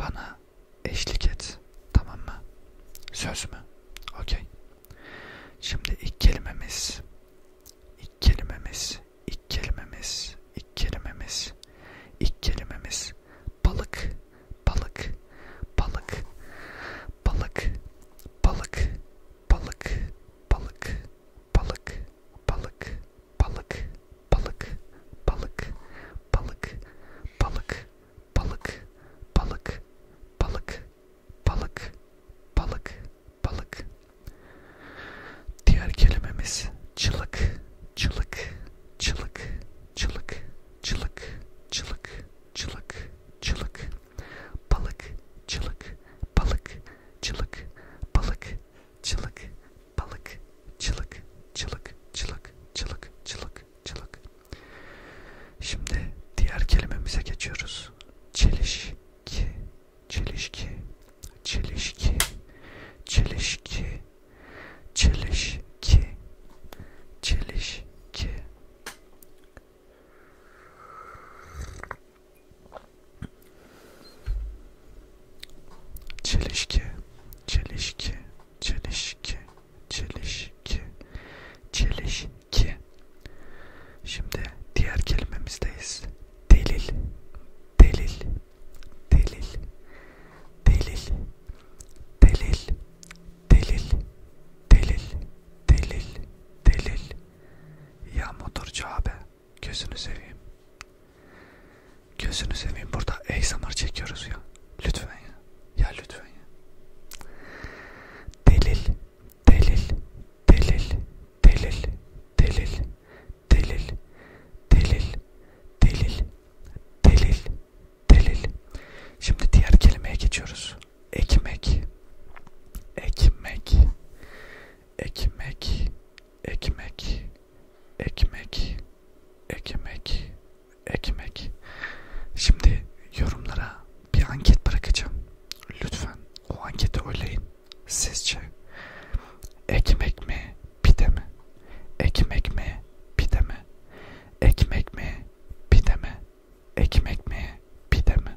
bana eşlik et. Tamam mı? Söz mü? Okey. Şimdi ilk kelimemiz. İlk kelimemiz. İlk kelimemiz. İlk kelimemiz. İlk kelimemiz. Balık. Balık. Balık. Balık. Balık. Balık. Balık. Balık. Balık. Balık balık balık balık balık balık balık balık balık balık balık balık diğer kelimemiz çılık çılık çılık çılık çılık çılık çılık çılık balık çılık balık çılık balık çılık balık, çılık, çılık, çılık, çılık, çılık, çılık. Şimdi diğer kelimemize geçiyoruz. Çelişki, çelişki, çelişki, çelişki, çelişki, çelişki. Çelişki, çelişki, çelişki, çelişki, çelişki. Şimdi diğer kelimemizdeyiz. Delil, delil, delil, delil, delil, delil, delil, delil, delil. Ya motorcu abi. Gözünü seveyim. Gözünü seveyim. Burada ASMR çekiyoruz ya. Lütfen ya. Ya lütfen ya. Delil. Delil. Delil. Delil. Delil. Delil. Delil. Delil. Delil. Delil. Şimdi diğer kelimeye geçiyoruz. Ekmek. Ekmek. Ekmek ekmek, ekmek, ekmek, ekmek. Şimdi yorumlara bir anket bırakacağım. Lütfen o anketi oylayın. Sizce ekmek mi, pide mi? Ekmek mi, pide mi? Ekmek mi, pide mi? Ekmek mi, pide mi?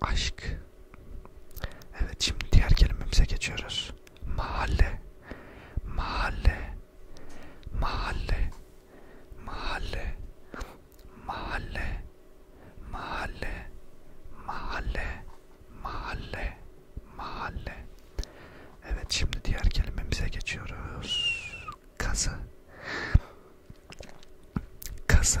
Aşk. Evet şimdi diğer kelimemize geçiyoruz. Mahalle. Mahalle. Mahalle. Mahalle. Mahalle. Mahalle. Mahalle. Mahalle. Mahalle. Evet şimdi diğer kelimemize geçiyoruz. Kazı. Kazı.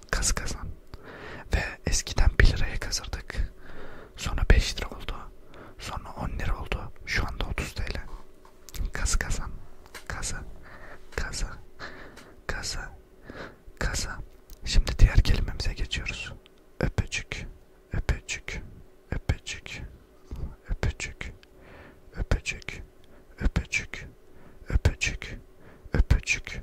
kaz kazan ve eskiden 1 liraya kazırdık sonra 5 lira oldu sonra 10 lira oldu şu anda 30 TL kaz kazan kaza kaza kaza kaza şimdi diğer kelimemize geçiyoruz öpücük öpücük öpücük öpücük öpücük öpücük öpücük öpücük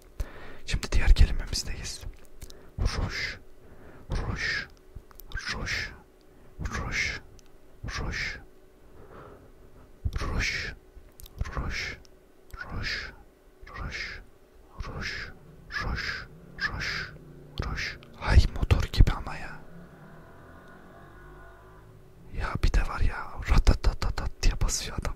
Şimdi diğer kelimemizdeyiz. Ruş, ruş, ruş, ruş, ruş, ruş, ruş, ruş, ruş, ruş, ruş, ruş, ruş. Hay motor gibi ama ya. Ya bir de var ya ratatatat diye basıyor adam.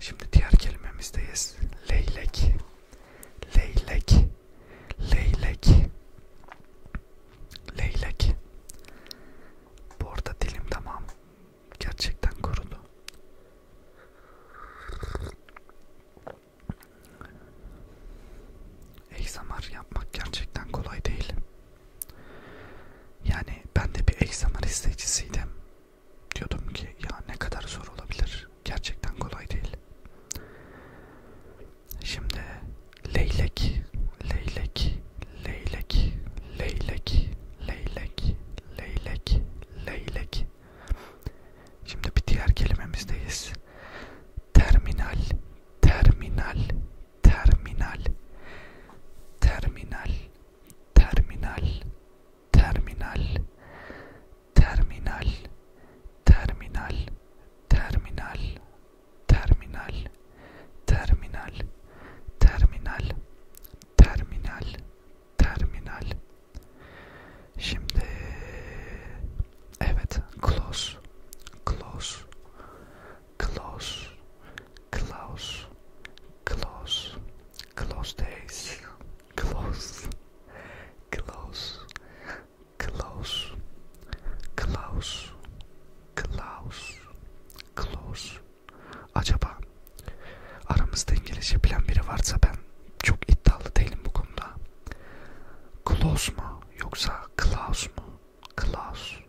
Şimdi diğer kelimemizdeyiz. Leylek. Leylek. Leylek. Leylek. Bu arada dilim tamam. Gerçekten kurudu. Egzamar yapmak gerçekten kolay değil. Yani ben de bir egzamar izleyicisiydim. Diyordum ki ya ne kadar zor olabilir. Gerçekten kolay değil. Şimdi leylek, leylek, leylek, leylek, leylek, leylek, leylek. Şimdi bir diğer kelimemizdeyiz. Terminal, terminal, terminal, terminal, terminal, terminal terminal terminal terminal terminal terminal terminal terminal terminal şimdi evet close close close close, close, close days, close, close, close, close, close, close. Acaba aramızda İngilizce bilen biri varsa ben çok iddialı değilim bu konuda. Close mu yoksa close mu? Close.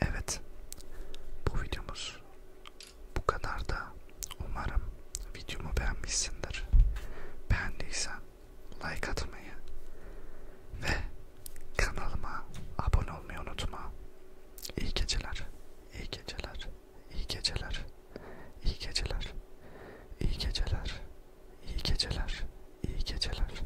Evet, bu videomuz bu kadar da umarım videomu beğenmişsindir. Beğendiysen like atmayı ve kanalıma abone olmayı unutma. İyi geceler, iyi geceler, iyi geceler, iyi geceler, iyi geceler, iyi geceler, iyi geceler. İyi geceler.